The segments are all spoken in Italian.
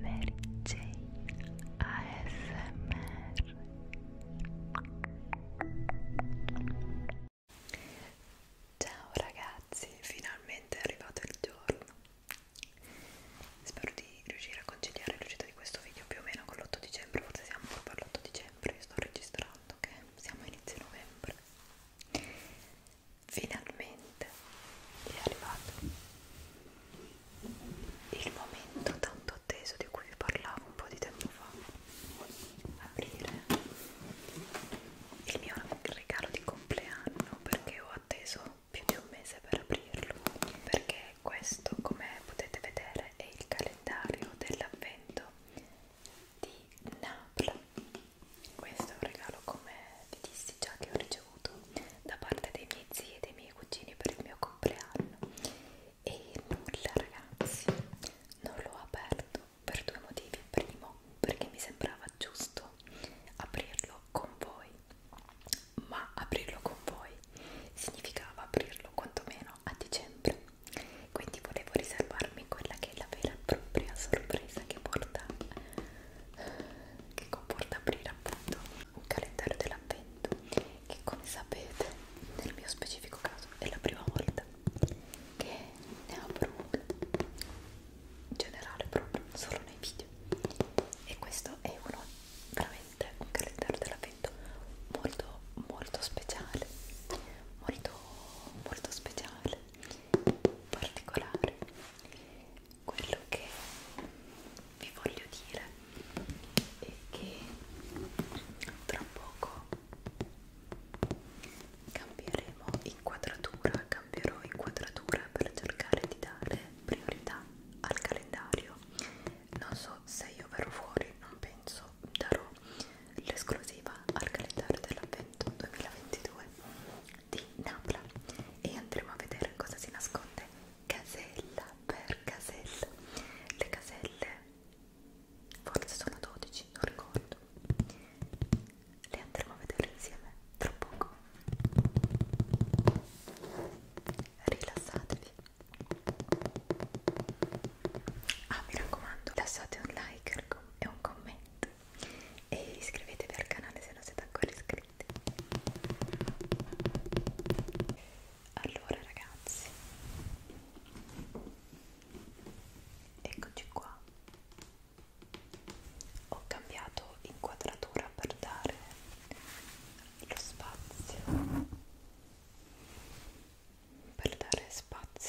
Mary Jane ASMR Ciao ragazzi, finalmente è arrivato il giorno. Spero di riuscire a conciliare l'uscita di questo video più o meno con l'8 dicembre, forse siamo proprio all'8 dicembre, io sto registrando che siamo a inizio novembre. Finalmente è arrivato il momento tanto atteso di cui vi parlavo un po' di tempo fa. Aprire il mio regalo di compleanno perché ho atteso più di un mese per aprirlo. Perché questo, come potete vedere, è il calendario dell'avvento di Napla questo è un regalo come vi dissi già che ho ricevuto da parte dei miei zii e dei miei cugini per il mio compleanno e nulla ragazzi non l'ho aperto per due motivi primo perché mi sembrava giusto aprirlo con voi ma aprirlo con voi significava aprirlo quantomeno a dicembre quindi volevo riservarmi quella che è la vera e propria sorpresa che porta che comporta aprire appunto un calendario dell'avvento che come sapete nel mio specifico caso è la prima volta che ne apro uno in generale proprio solo nei video e questo è uno veramente un calendario dell'avvento molto molto speciale molto molto speciale particolare quello che vi voglio dire è che tra poco cambieremo inquadratura, cambierò inquadratura per cercare di dare priorità al calendario. Non so se io verrò fuori, non penso, darò l'esclusiva al calendario dell'avvento 2022 di Napla e andremo a vedere cosa si nasconde casella per casella le caselle forse sono 12 non ricordo le andremo a vedere insieme tra poco rilassatevi ah mi raccomando lasciate un like e un commento e iscrivetevi al canale se non siete ancora iscritti allora ragazzi eccoci qua ho cambiato inquadratura per dare lo spazio per dare spazio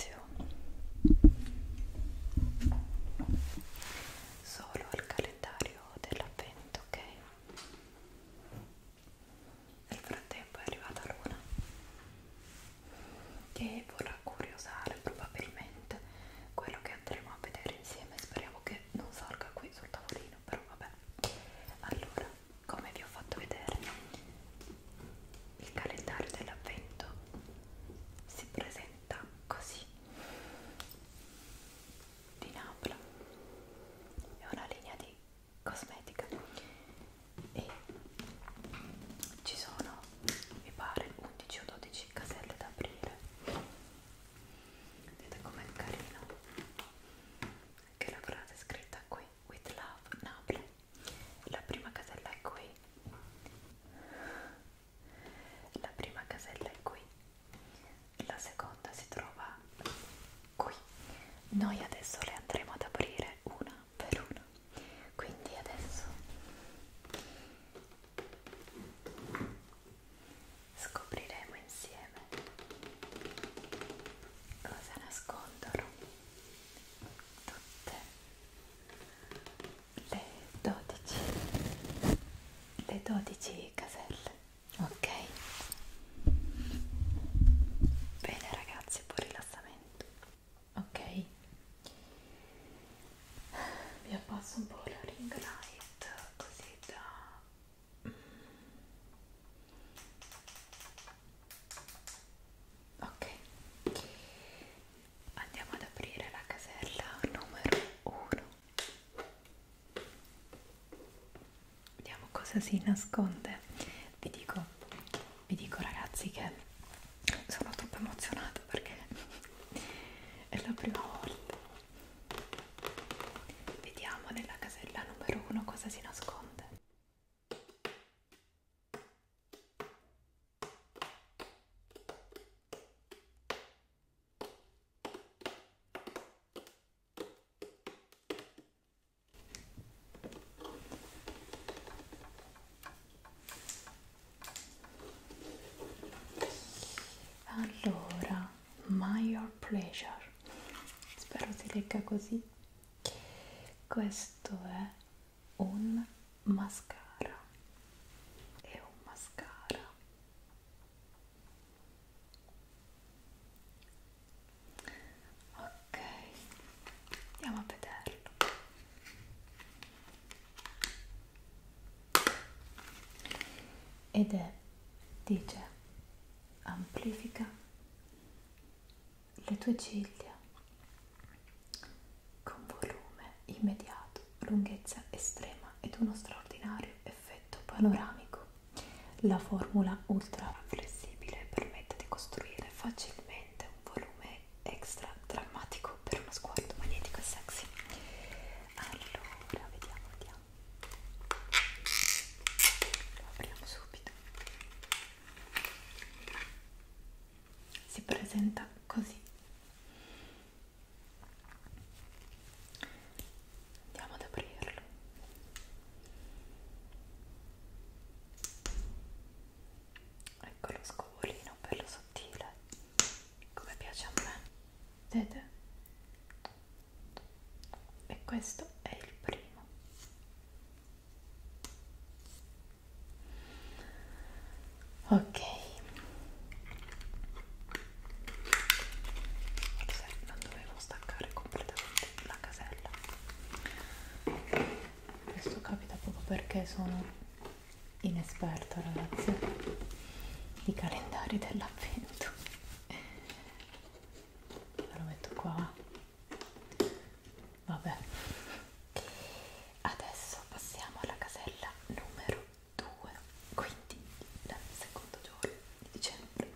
solo al calendario dell'avvento, ok? Nel frattempo è arrivata Luna che vorrà curiosare probabilmente quello che andremo a vedere insieme. Speriamo che non salga qui sul tavolino, però vabbè. Allora, come vi ho fatto vedere, il calendario dell'avvento si presenta così di Napla è una linea di cosmetica e ci sono mi pare 11 o 12 caselle da aprire vedete com'è carino anche la frase scritta qui with love Napoli la prima casella è qui la prima casella è qui, la seconda si trova qui. Noi adesso le andremo ad aprire una per una. Quindi adesso scopriremo insieme cosa nascondono tutte le 12 le 12 caselle ok bene ragazzi buon rilassamento ok vi appasso un po' la ring light così da ok andiamo ad aprire la casella numero 1 vediamo cosa si nasconde vi dico, vi dico ragazzi che sono troppo emozionata perché è la prima volta vediamo nella casella numero 1 cosa si nasconde allora, My Your Pleasure, spero si legga così. Questo è un mascara e un mascara ok andiamo a vederlo ed è dice amplifica le tue ciglia con volume immediato, lunghezza estrema ed uno straordinario effetto panoramico. La formula ultra flessibile permette di costruire facilmente un volume extra drammatico per uno sguardo magnetico e sexy. Allora, vediamo, vediamo. Lo apriamo subito si presenta così andiamo ad aprirlo ecco lo scovolino bello sottile come piace a me vedete e questo è il primo ok forse non dovevo staccare completamente la casella questo capita proprio perché sono inesperta ragazzi i calendari dell'avvento lo metto qua vabbè adesso passiamo alla casella numero 2 quindi il secondo giorno di dicembre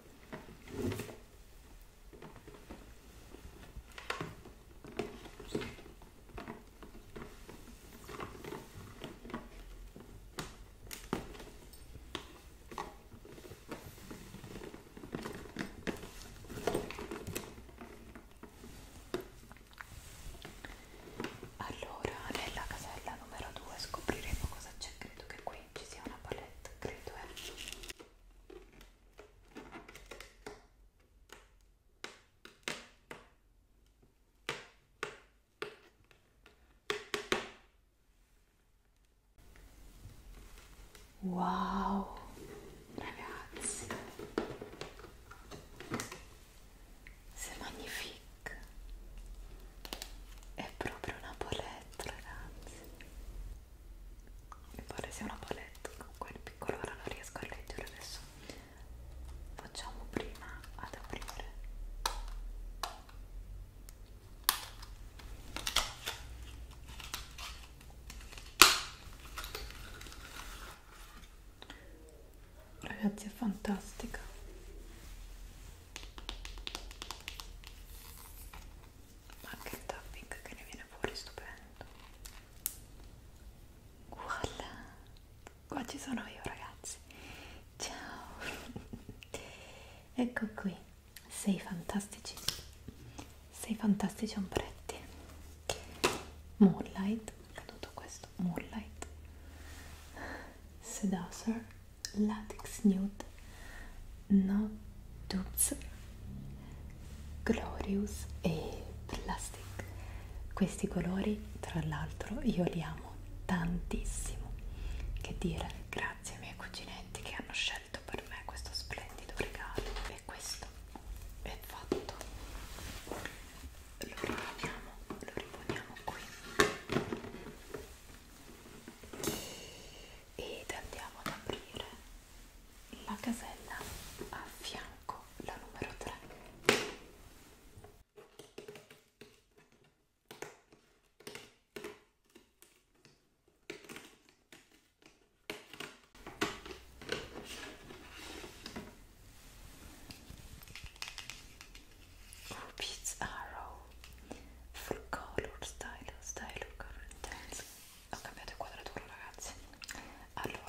allora nella casella numero 2 scopriremo cosa c'è credo che qui ci sia una palette credo eh. Wow, ragazzi, c'est magnifique. È proprio una boletta, ragazzi. Mi pare sia una boletta, comunque il piccolo ora non riesco a leggere adesso. Facciamo prima ad aprire ragazzi è fantastica ma anche il tapping che ne viene fuori stupendo voilà qua ci sono io ragazzi ciao ecco qui sei fantastici sei fantastici ombretti Moonlight caduto questo Moonlight Seducer Latex Nude No Dupes Glorious e Plastic questi colori tra l'altro io li amo tantissimo che dire grazie ai miei cuginetti che hanno scelto per me questo splendido regalo e e questo è fatto lo riponiamo lo riponiamo qui ed andiamo ad aprire la casella a fianco la numero 3 e Ruby's oh, Arrow Full Color Style Style Color Intense Ho cambiato inquadratura ragazzi Allora,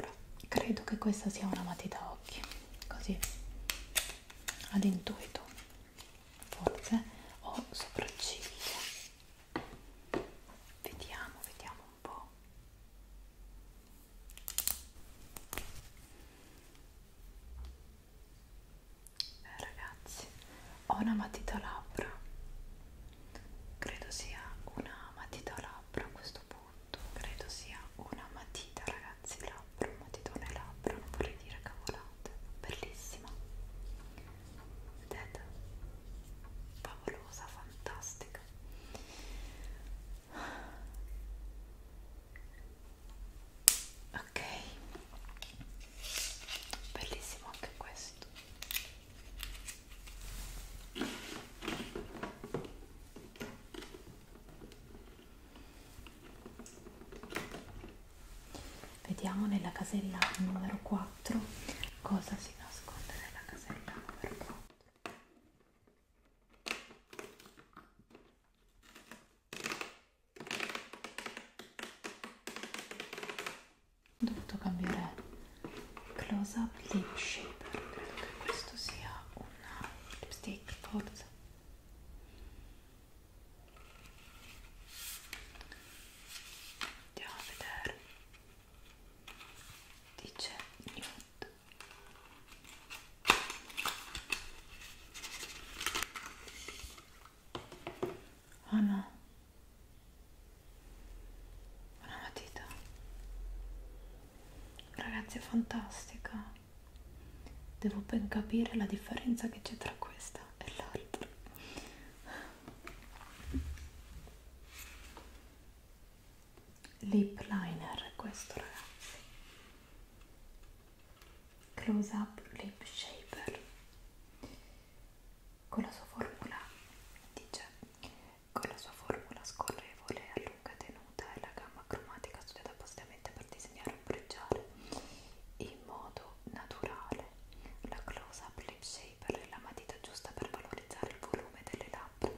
credo che questa sia una matita a occhi Così Ad intuito Forse Ho sopracciglia vediamo vediamo un po' eh, ragazzi ho una matita labbra credo sia una matita labbra a questo punto credo sia una matita ragazzi labbra un matitone labbra non vorrei dire cavolate bellissima vedete? Favolosa, fantastica. Ok, bellissimo anche questo. Vediamo nella casella numero 4 cosa si nasconde nella casella numero 4. Ho dovuto cambiare close up lip shaper, credo che questo sia un lipstick forza andiamo a vedere dice nude oh no una matita ragazzi è fantastica devo ben capire la differenza che c'è tra questa e l'altra lip liner questo ragazzi close up lip shaper con la sua formula dice con la sua formula scorrevole a lunga tenuta e la gamma cromatica studiata appositamente per disegnare o breggiare in modo naturale la close up lip shaper taper la matita giusta per valorizzare il volume delle labbra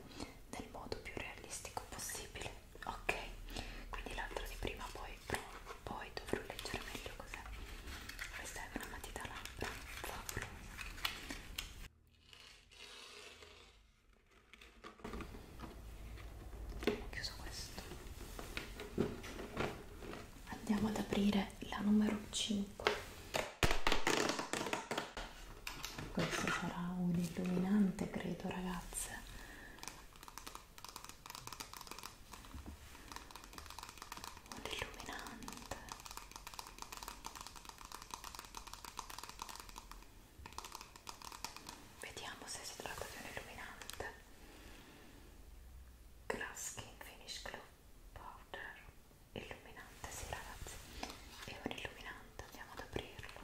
nel modo più realistico possibile ok quindi l'altro di prima poi poi dovrò leggere meglio cos'è questa è una matita labbra favolosa ho chiuso questo andiamo ad aprire la numero 5 questo sarà un illuminante credo ragazze un illuminante vediamo se si tratta di un illuminante Glass King Finish Glow powder illuminante, sì ragazzi, è un illuminante, andiamo ad aprirlo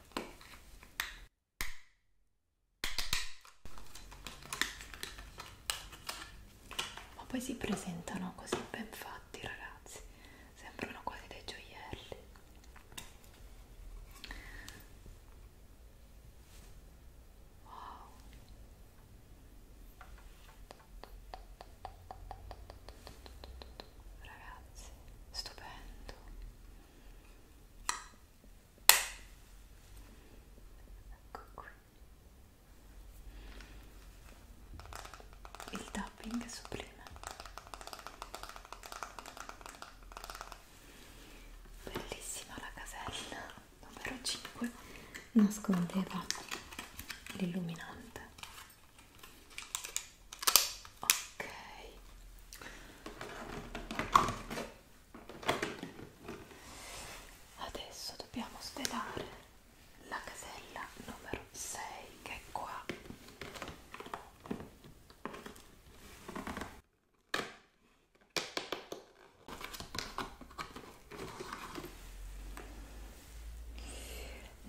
ma poi si presentano così ben fatti ragazzi, sembrano quasi dei gioielli wow Ragazzi, stupendo. Ecco qui. Il tapping è sublime. Bellissima la casella numero 5 nascondeva l'illuminante ok adesso dobbiamo svelare la casella numero 6 che è qua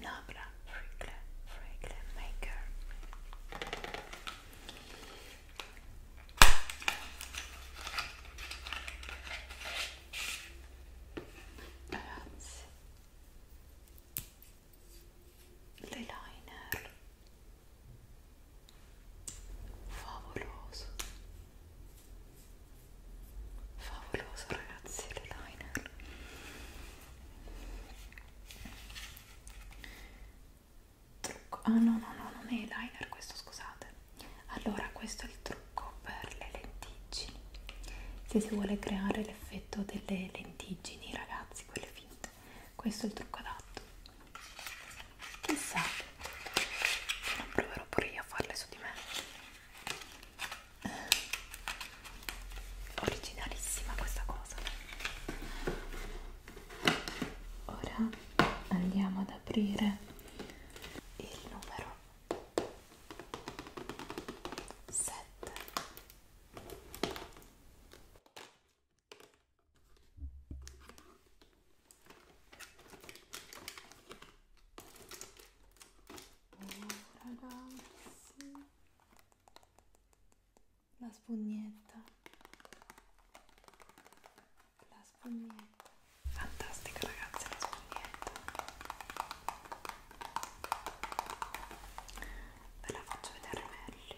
Nabla fragrant, fragrant maker. That's favoloso favoloso ragazzi l'eyeliner trucco ah oh, no no no non è eyeliner questo scusate allora questo è il trucco per le lentiggini se si vuole creare l'effetto delle lentiggini ragazzi quelle finte questo è il trucco adatto Chissà, non proverò pure io a farle su di me. Eh. Originalissima questa cosa. Ora andiamo ad aprire il numero 7. Oh, ragazzi, la spugnetta, la spugnetta, fantastica ragazzi la spugnetta, ve la faccio vedere meglio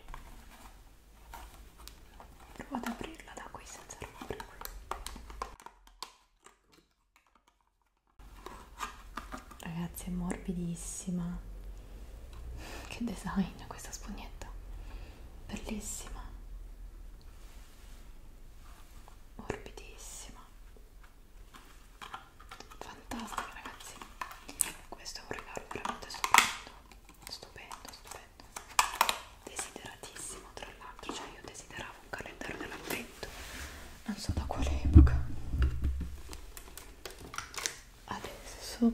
provo ad aprirla da qui senza rompere ragazzi è morbidissima che design questa spugnetta bellissima morbidissima fantastica ragazzi questo è un regalo veramente stupendo stupendo stupendo dell'avvento desideratissimo tra l'altro cioè io desideravo un calendario dell'avvento non so da quale epoca adesso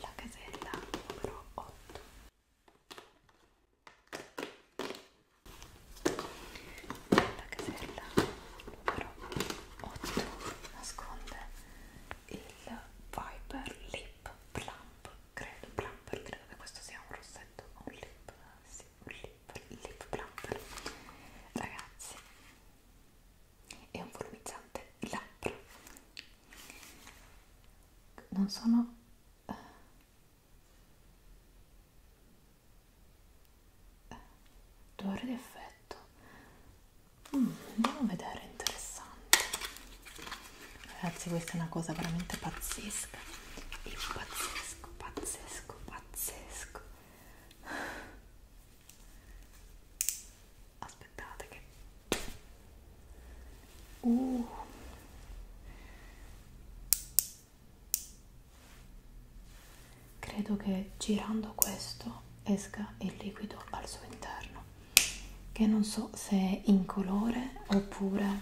la casella numero 8 la casella numero 8 nasconde il Viper Lip Plump credo plumper, credo che questo sia un rossetto o un lip, sì, un lip, lip plumper ragazzi è un volumizzante labbra non sono eh, eh, dolore di effetto Mm, andiamo a vedere, interessante. Ragazzi, questa è una cosa veramente pazzesca. E pazzesco, pazzesco, pazzesco. Aspettate che... Uh. Credo che girando questo esca il liquido al suo interno che non so se è incolore oppure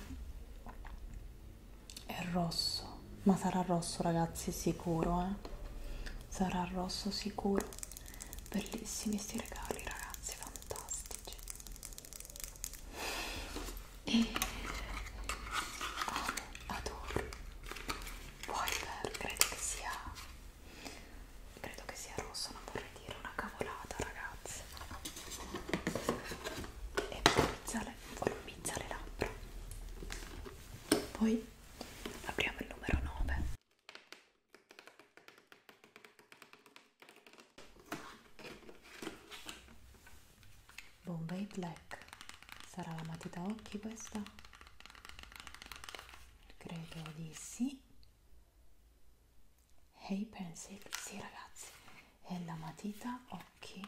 è rosso ma sarà rosso ragazzi sicuro eh? sarà rosso sicuro bellissimi sti regali ragazzi fantastici e amo adoro poi credo che sia credo che sia rosso non vorrei dire una cavolata ragazzi e volumizza le labbra poi apriamo il numero 9 Bombay Black sarà la matita occhi questa? credo di sì Hey Pencil, sì ragazzi, è la matita occhi,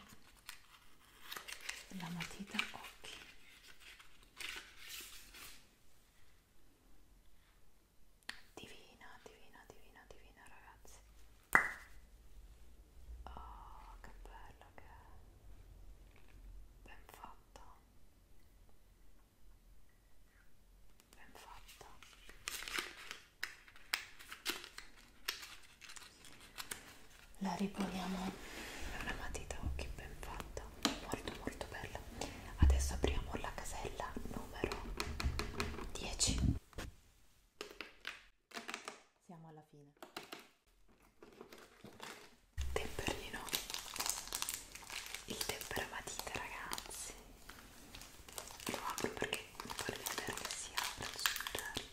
la matita occhi. Divina, divina, divina, divina ragazzi. Oh, che bello che è. Ben fatto ben fatta la ripoliamo una matita occhi oh, ben fatta molto molto bella adesso apriamo la casella numero 10 siamo alla fine temperino il temperamatite ragazzi lo apro perché mi voglio vedere che si apre sul terzo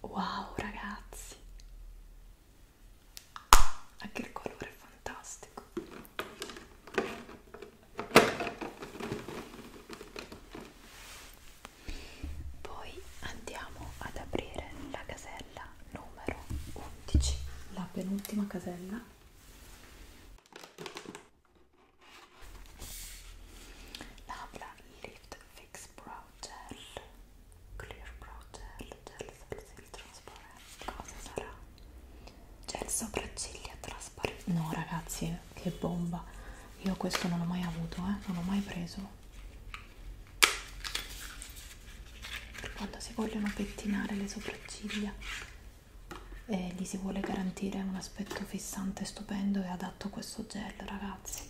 Wow ragazzi anche il colore è fantastico poi andiamo ad aprire la casella numero 11 la penultima casella la Avla Lift Fix Brow brow gel clear brow gel gel self trasparente cosa sarà? gel sopracciglia trasparente no ragazzi che bomba io questo non l'ho mai avuto eh non l'ho mai preso per quando si vogliono pettinare le sopracciglia e eh, gli si vuole garantire un aspetto fissante stupendo e adatto a questo gel ragazzi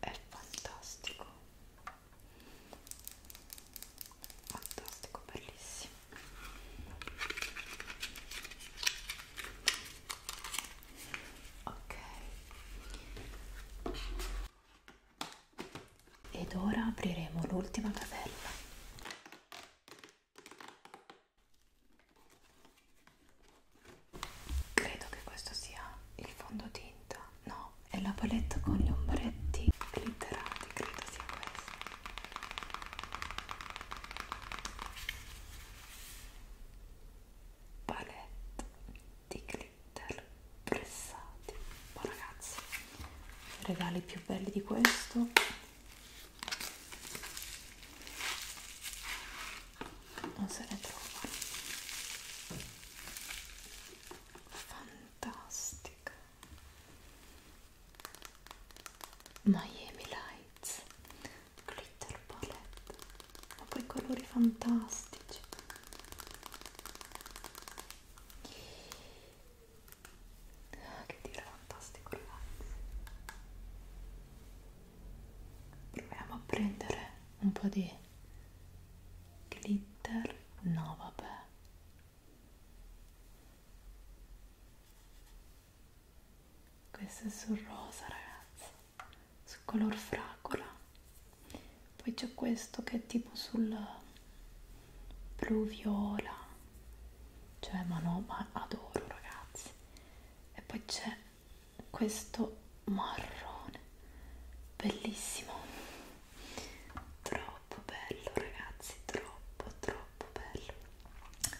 è fantastico fantastico bellissimo ok ed ora apriremo l'ultima casella credo che questo sia il fondotinta no, è la palette con gli ombretti glitterati, credo sia questa. Palette di glitter pressati. Ma ragazzi, regali più belli di questo non se ne trova fantastica Miami Lights glitter palette ma poi colori fantastici ah, che dire fantastico ragazzi proviamo a prendere un po' di glitter no vabbè questo è sul rosa ragazzi su color fragola poi c'è questo che è tipo sul blu viola cioè ma no ma adoro ragazzi e poi c'è questo marrone bellissimo troppo bello ragazzi troppo troppo bello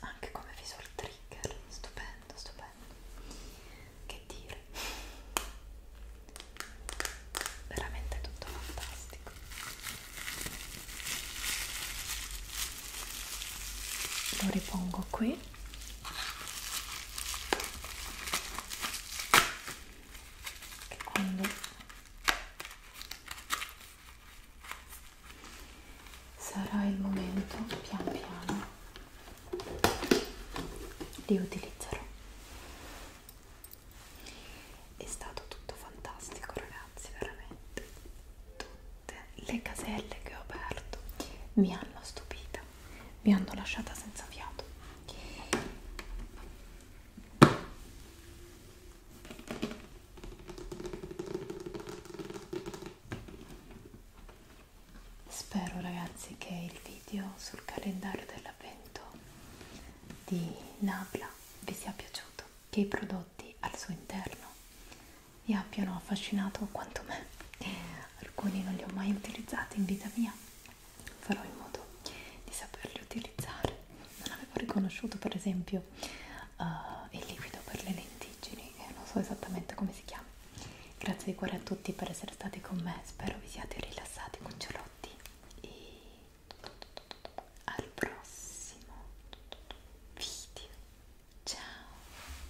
anche come visual trigger stupendo stupendo che dire veramente tutto fantastico lo ripongo qui che quando sarà il momento pian piano li utilizzerò è stato tutto fantastico ragazzi veramente tutte le caselle che ho aperto mi hanno stupita mi hanno lasciata senza fiato spero ragazzi che il video sul calendario dell'avvento di Napla vi sia piaciuto che i prodotti al suo interno vi abbiano affascinato quanto me alcuni non li ho mai utilizzati in vita mia farò in modo di saperli utilizzare non avevo riconosciuto per esempio uh, il liquido per le lentiggini e non so esattamente come si chiama grazie di cuore a tutti per essere stati con me spero vi siate rilassati cucciolotti e al prossimo video ciao